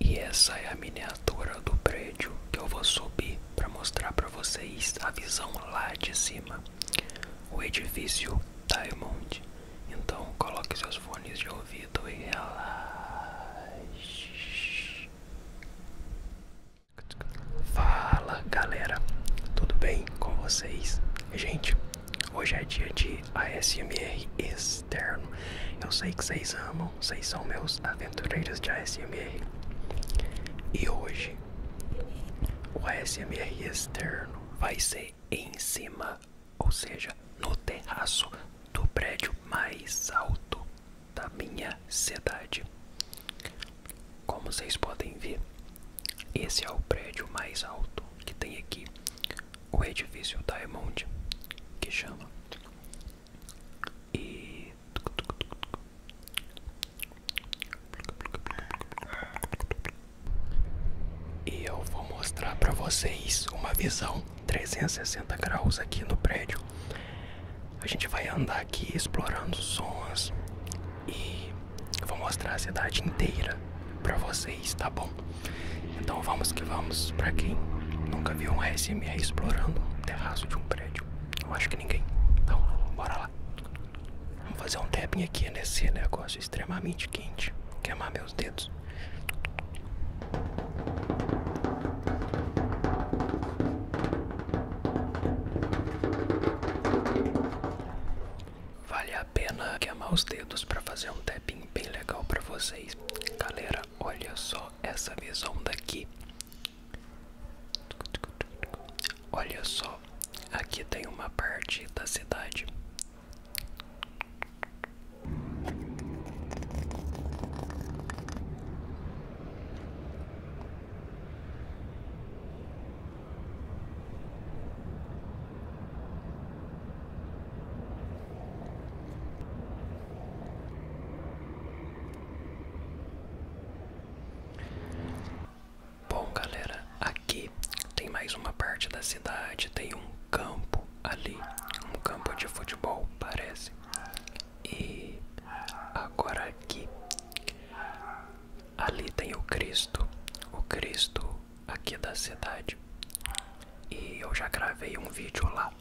E essa é a miniatura do prédio que eu vou subir para mostrar para vocês a visão lá de cima. O edifício Diamond. Tá então coloque seus fones de ouvido e relaxe. Fala galera, tudo bem com vocês? Gente, hoje é dia de ASMR. Eu sei que vocês amam, vocês são meus aventureiros de ASMR. E hoje, o ASMR externo vai ser em cima, ou seja, no terraço do prédio mais alto da minha cidade. Como vocês podem ver, esse é o prédio mais alto que tem aqui, o edifício Diamond, que chama e e eu vou mostrar para vocês uma visão 360 graus aqui no prédio. A gente vai andar aqui explorando sons e vou mostrar a cidade inteira para vocês, tá bom? Então vamos que vamos. Pra quem nunca viu um SMR explorando um terraço de um prédio, eu acho que ninguém. Então, bora lá. Vamos fazer um tapping aqui nesse negócio extremamente quente. Queimar meus dedos. Vale a pena queimar os dedos para fazer um tapping bem legal para vocês, galera olha só essa visão daqui. Olha só, aqui tem uma parte da cidade. Bom, galera, aqui tem mais uma parte da cidade, tem um campo ali, um campo de futebol, parece. E agora aqui ali tem o Cristo, o Cristo aqui da cidade. E eu já gravei um vídeo lá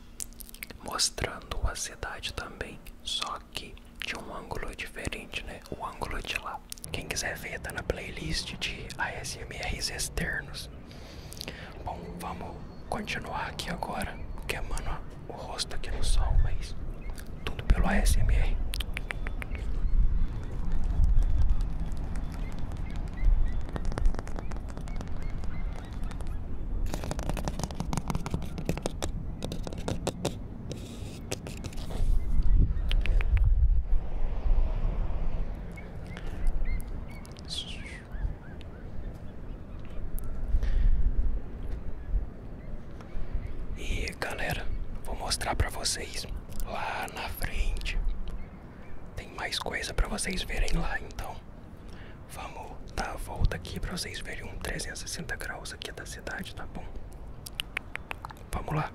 mostrando a cidade também, só que de um ângulo diferente, né? O ângulo de lá. Quem quiser ver, tá na playlist de ASMRs externos. Bom, vamos continuar aqui agora, porque, mano, o rosto aqui no sol, mas tudo pelo ASMR. E galera, vou mostrar para vocês lá na frente tem mais coisa para vocês verem lá, então. Vamos dar a volta aqui para vocês verem um 360 graus aqui da cidade, tá bom? Vamos lá.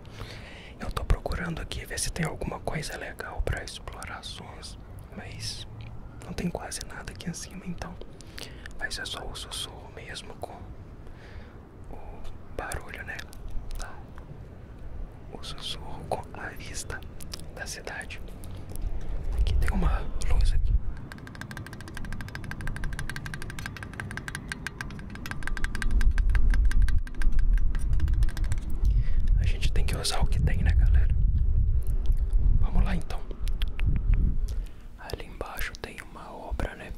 Eu tô procurando aqui ver se tem alguma coisa legal para explorações, mas não tem quase nada aqui em cima, então. Vai é só o sussurro mesmo com o barulho, né? Tá o sussurro com a vista da cidade. Aqui tem uma luz aqui. A gente tem que usar o que tem, né, galera? Vamos lá então. Ali embaixo tem uma obra, né?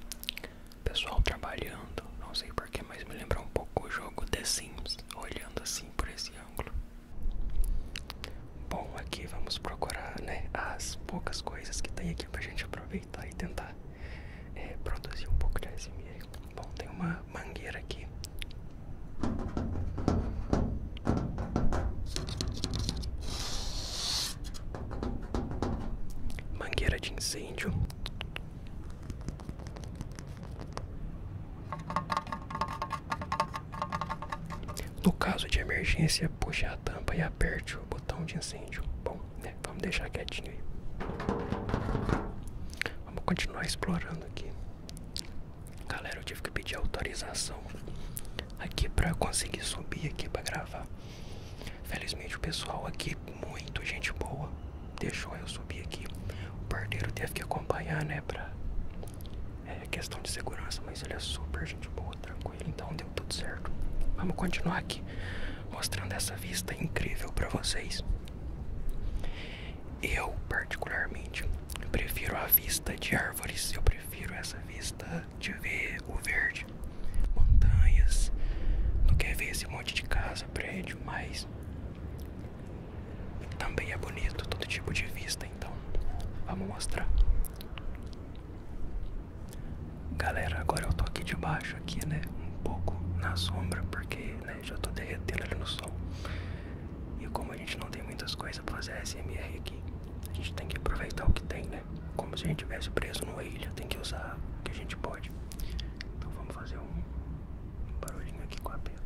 Pessoal trabalhando, não sei porquê, mas me lembra um pouco o jogo The Sims, olhando assim por esse Bom, aqui vamos procurar né, as poucas coisas que tem aqui para a gente aproveitar e tentar é, produzir um pouco de ASMR. Bom, tem uma mangueira aqui. Mangueira de incêndio. No caso de emergência, puxe a tampa e aperte o botão de incêndio. Bom, né, Vamos deixar quietinho aí. Vamos continuar explorando aqui. Galera, eu tive que pedir autorização aqui para conseguir subir aqui para gravar. Felizmente o pessoal aqui muito gente boa deixou eu subir aqui. O porteiro teve que acompanhar, né? Pra é, questão de segurança, mas ele é super gente boa, tranquilo, então deu tudo certo. Vamos continuar aqui mostrando essa vista incrível para vocês. Eu, particularmente, prefiro a vista de árvores, eu prefiro essa vista de ver o verde, montanhas, não que ver esse monte de casa, prédio, mas também é bonito todo tipo de vista, então vamos mostrar. Galera, agora eu tô aqui debaixo aqui, né? Um pouco na sombra, porque né, já tô derretendo ali no sol. E como a gente não tem muitas coisas pra fazer SMR aqui, a gente tem que aproveitar o que tem, né? Como se a gente tivesse preso numa ilha, tem que usar o que a gente pode. Então vamos fazer um um barulhinho aqui com a pena.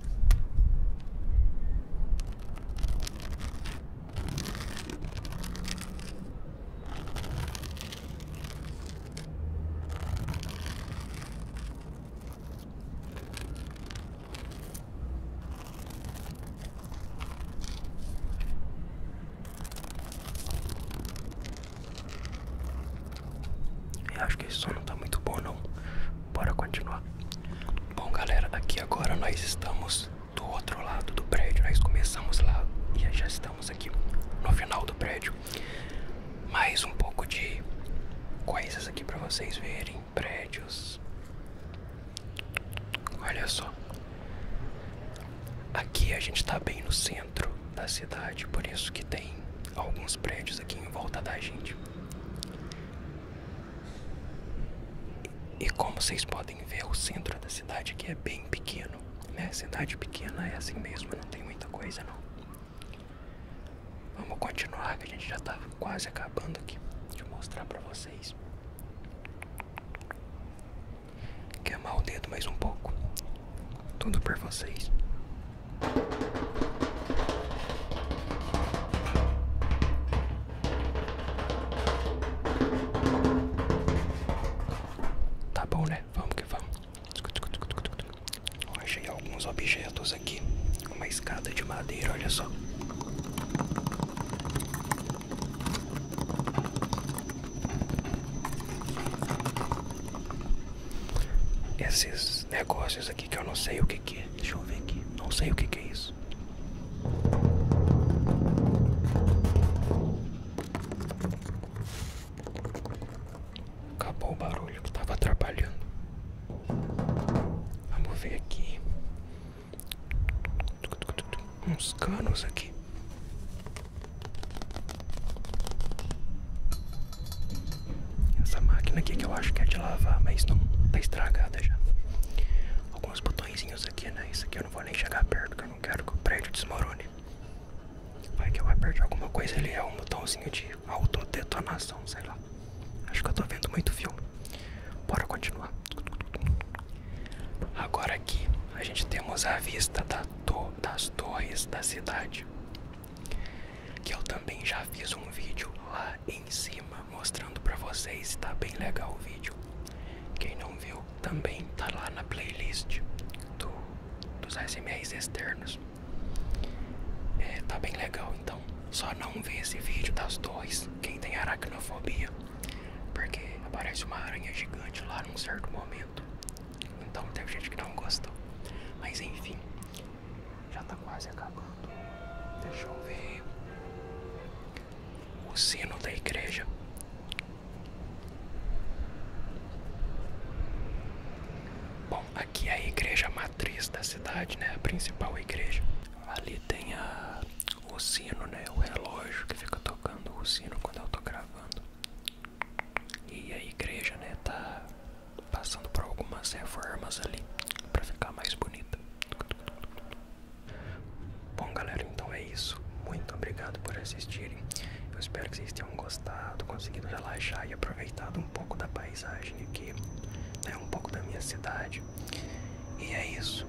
Eu acho que esse som não tá muito bom não Bora continuar. Bom, galera, aqui agora nós estamos do outro lado do prédio. Nós começamos lá e já estamos aqui no final do prédio. Mais um pouco de coisas aqui para vocês verem. Prédios. Olha só. Aqui a gente está bem no centro da cidade, por isso que tem alguns prédios aqui em volta da gente. E como vocês podem ver, o centro da cidade aqui é bem pequeno, né? Cidade pequena é assim mesmo, não tem muita coisa não. Vamos continuar, que a gente já está quase acabando aqui. Deixa eu mostrar para vocês. Queimar o dedo mais um pouco. Tudo por vocês. Tá bom, né? Vamos que vamos. achei alguns objetos aqui. Uma escada de madeira, olha só. Esses negócios aqui que eu não sei o que, que é. Deixa eu ver aqui. Não sei o que, que é isso. Acabou o barulho que tava atrapalhando. Vamos ver aqui. Uns canos aqui. Essa máquina aqui que eu acho que é de lavar, mas não tá estragada já. Alguns botõezinhos aqui, né? Isso aqui eu não vou nem chegar perto, porque eu não quero que o prédio desmorone. Vai que eu vou aperto alguma coisa ali, é um botãozinho de autodetonação, sei lá. Acho que eu tô vendo muito fio. Bora continuar. Agora aqui a gente temos a vista das torres da cidade que eu também já fiz um vídeo lá em cima mostrando para vocês, tá bem legal o vídeo. Quem não viu também tá lá na playlist dos ASMRs externos. É, tá bem legal então. Só não vê esse vídeo das torres, quem tem aracnofobia, porque aparece uma aranha gigante lá num certo momento. Então tem gente que não gosta. Mas enfim, já está quase acabando. Deixa eu ver. O sino da igreja. Bom, aqui é a igreja matriz da cidade, né? A principal igreja. Ali tem a, o sino, né? O relógio que fica tocando o sino quando eu estou gravando. E a igreja, né, tá passando por algumas reformas ali para ficar mais bonita. Bom, galera, então é isso. Muito obrigado por assistirem. Eu espero que vocês tenham gostado, conseguido relaxar e aproveitado um pouco da paisagem aqui, né, um pouco da minha cidade. E é isso.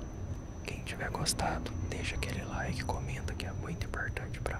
Quem tiver gostado, deixa aquele like, comenta que é muito importante para